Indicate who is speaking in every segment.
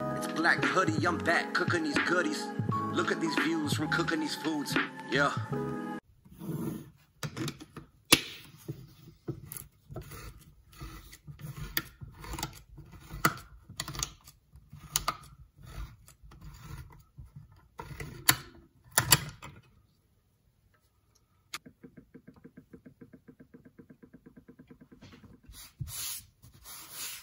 Speaker 1: It's black hoodie, I'm back cooking these goodies. Look at these views from cooking these foods. Yeah.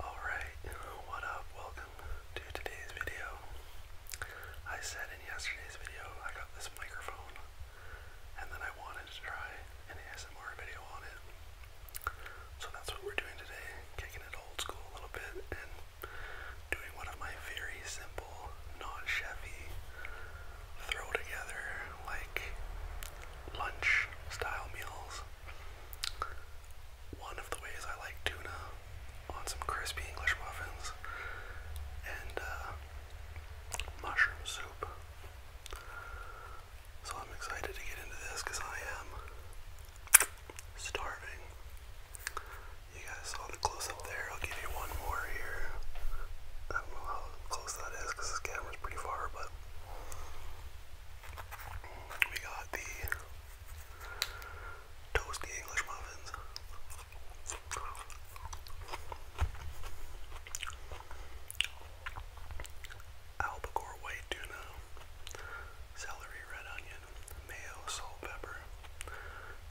Speaker 1: Alright, what up? Welcome to today's video. I said in yesterday's video I got this microphone and then I wanted to try an ASMR video on it. So that's what we're doing today, kicking it old school a little bit and doing one of my very simple, not chefy throw together like lunch style meals. One of the ways I like tuna on some crispy English muffins and uh, mushroom soup. So I'm excited to get into this because I am starving. You guys saw the close up there. I'll give you one more here. I don't know how close that is because this camera's pretty far, but we got the toasty English muffins. Albacore white tuna, celery, red onion, mayo, salt, pepper,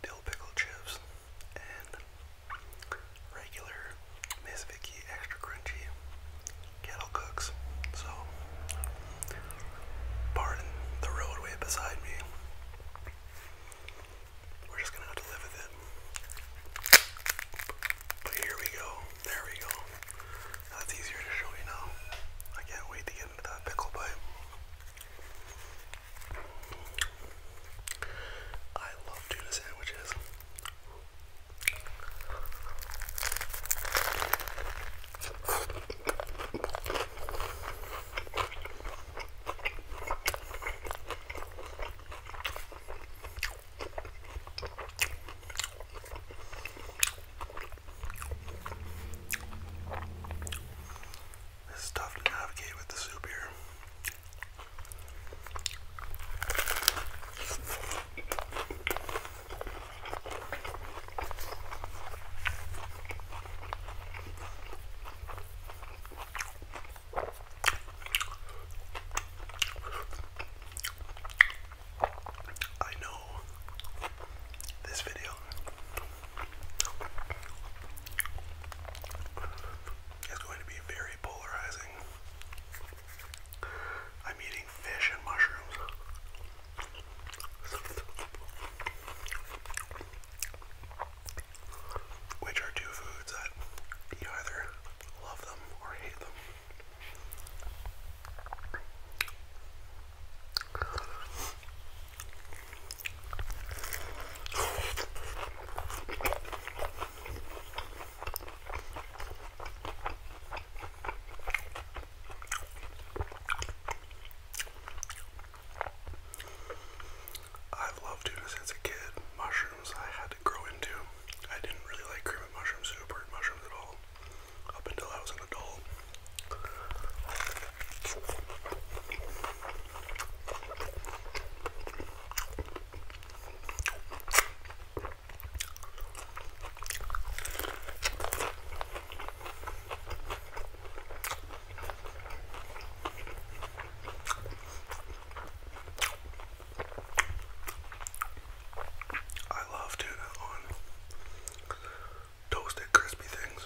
Speaker 1: dill pickle chips, regular Miss Vicky extra crunchy kettle cooks. So, pardon the roadway beside me. We're just gonna have to live with it. But here we go. There we go. That's easier to show you now. I can't wait to get into that pickle bite. I love tuna sandwiches. It's tough to navigate with the soup here. I know this video it's going to be very polarizing. I'm eating fish and mushrooms. Which are two foods that you either love them or hate them. I've loved tuna since a kid. Mushrooms I had to grow into. I didn't really like cream and mushroom soup or mushrooms at all up until I was an adult. I love tuna on toasted crispy things.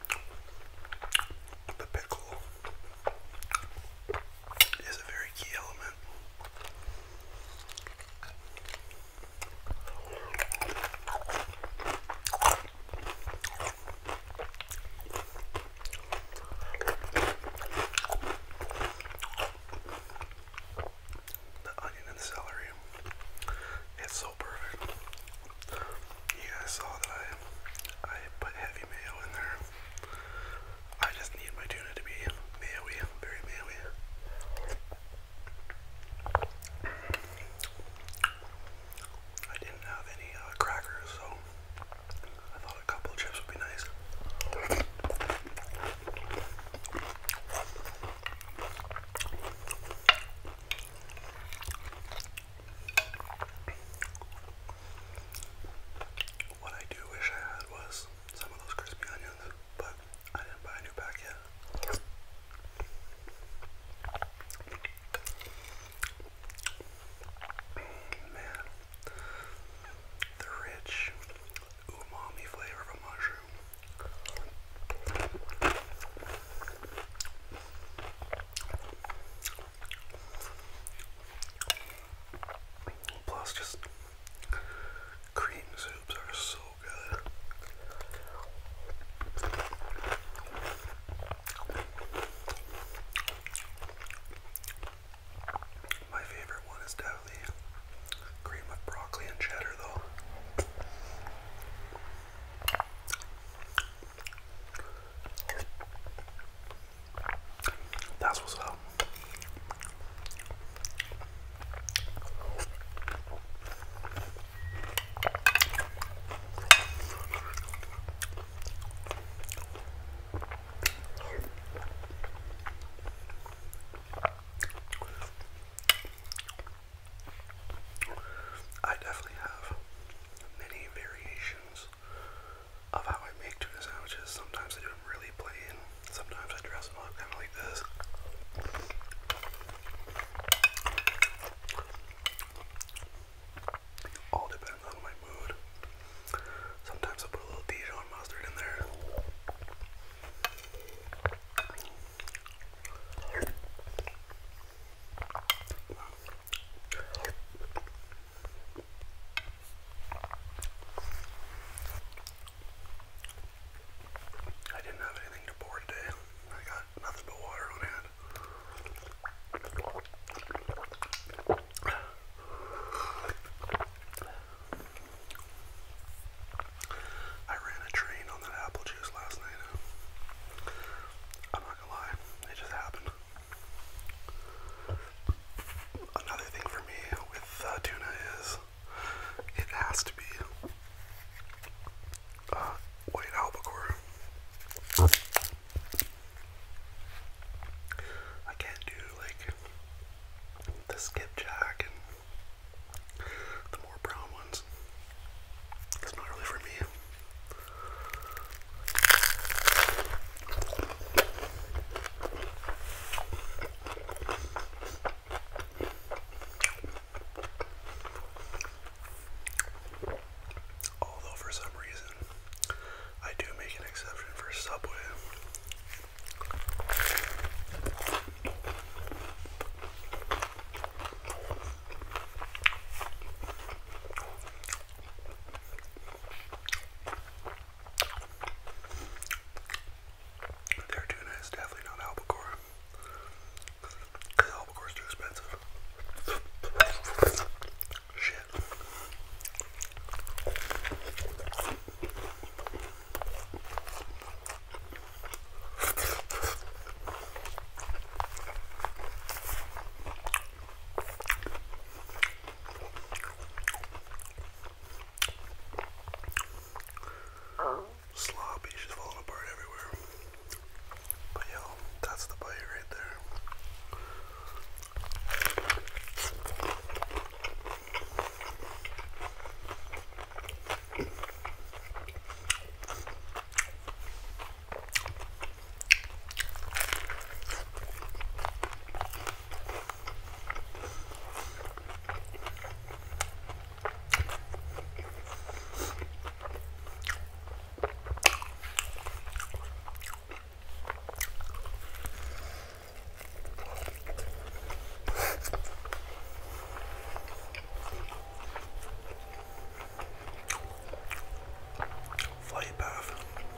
Speaker 1: The pickle is a very key element. The onion and celery, it's so perfect. You guys saw that I I put heavy mayo in there. I just need my tuna to be mayo very mayo-y. I didn't have any uh, crackers, so I thought a couple chips would be nice. What I do wish I had was some of those crispy onions, but I didn't buy a new pack yet. Man, the rich umami flavor of a mushroom. Plus, just cream soups are so good. My favorite one is definitely cream with broccoli and cheddar, though. That's what's up. I definitely have many variations of how I make tuna sandwiches. Sometimes I do them really plain. Sometimes I dress them up kind of like this. all depends on my mood. Sometimes i put a little Dijon mustard in there. I didn't have anything to pour today. I got nothing but water on hand. I ran a train on that apple juice last night. I'm not gonna lie, it just happened. Another thing for me with uh, tuna is it has to be uh, white albacore. I can't do like the skipjack and the more brown ones. It's not really for me. Although, for some reason, I do make an exception for Subway. Their tuna is definitely not albacore. albacore is too expensive. Shit. Sloppy, she's falling apart everywhere. But yo, that's the bite right there. Flight path.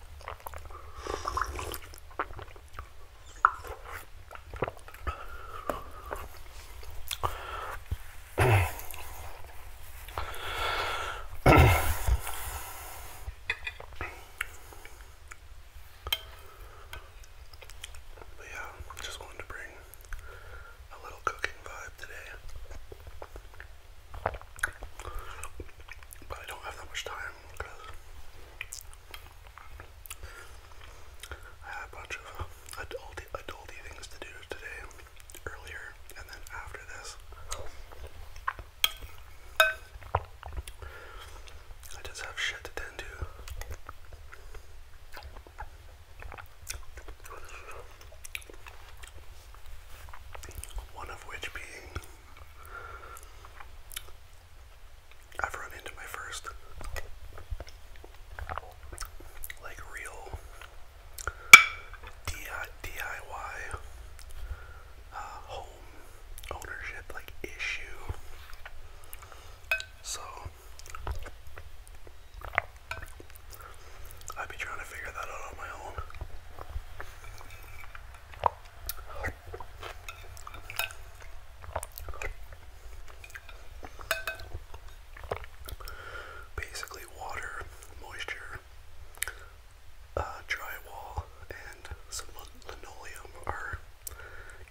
Speaker 1: But yeah, just wanted to bring a little cooking vibe today. But I don't have that much time because I had a bunch of adulty, adulty things to do today, earlier, and then after this. I just have shit to tend to. One of which being I've run into my first like real DIY uh, home ownership like issue. So I'd be trying to figure that out on my own. Basically, water, moisture, uh, drywall, and some linoleum are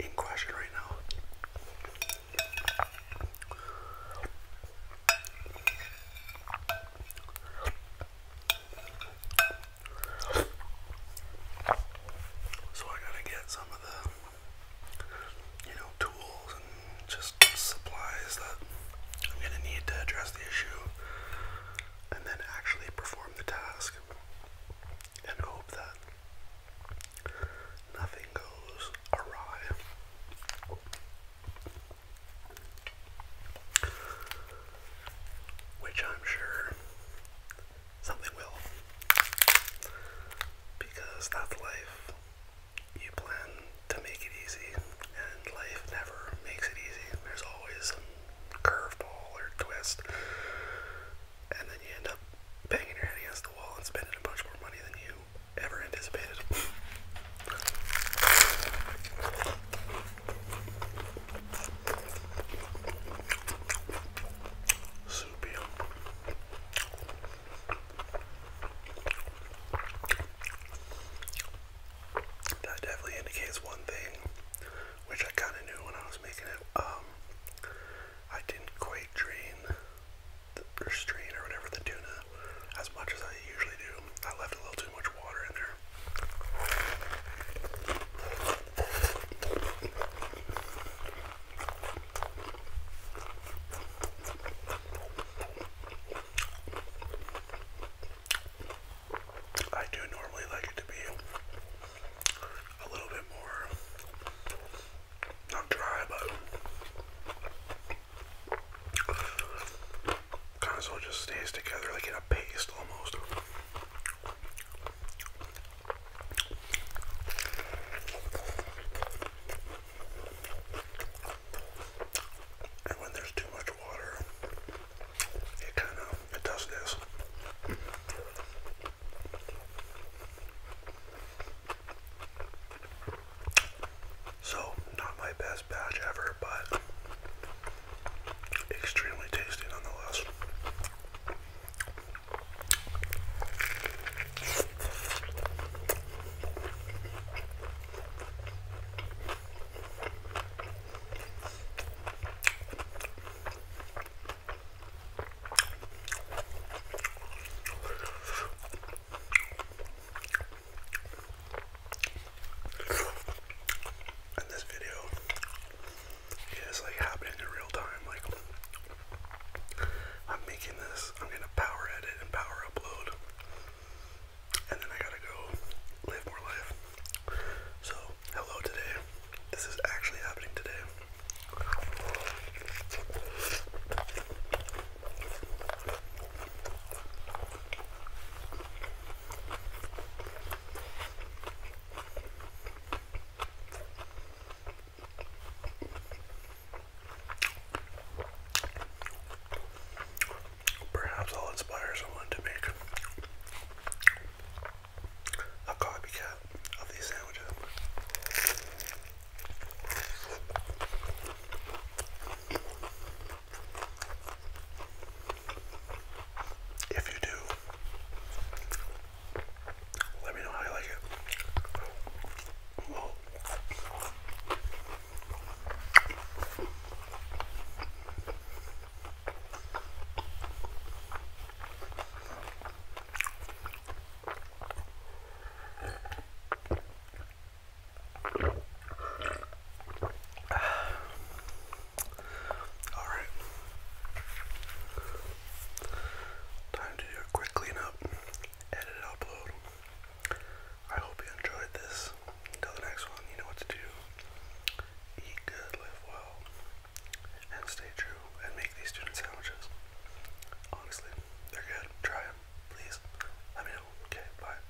Speaker 1: in question right now. So I gotta get some of the, you know, tools and just supplies that I'm gonna need to address the issue and then actually perform the task and hope that nothing goes awry. Which I'm sure something will. Because that's life. You plan to make it easy, and life never makes it easy. There's always a curveball or twist, and then you end up banging your head against the wall and spending a bunch more money than you ever anticipated. Soupy. That definitely indicates one thing, which I kind of knew when I was making it. Um, I didn't quite drain the, or strain or whatever the tuna as much as I usually do. I left a little too much water in there. I do normally like it to be a little bit more not dry, but console just stays together like in a paste almost. And when there's too much water, it kind of it does this. So, not my best batch ever, but Extremely tasty nonetheless. And this video is like happening in real time. Like I'm making this, I'm gonna power edit and power upload. And then I gotta go live more life. So, hello today. This is actually happening today. Perhaps I'll inspire someone to make a copycat of these sandwiches. If you do, let me know how you like it. Alright. Time to do a quick cleanup, edit, upload. I hope you enjoyed this. Until the next one, you know what to do. Eat good, live well, and stay true, and make these student sandwiches. Honestly, they're good. Try them, please. Let me know. Okay, bye.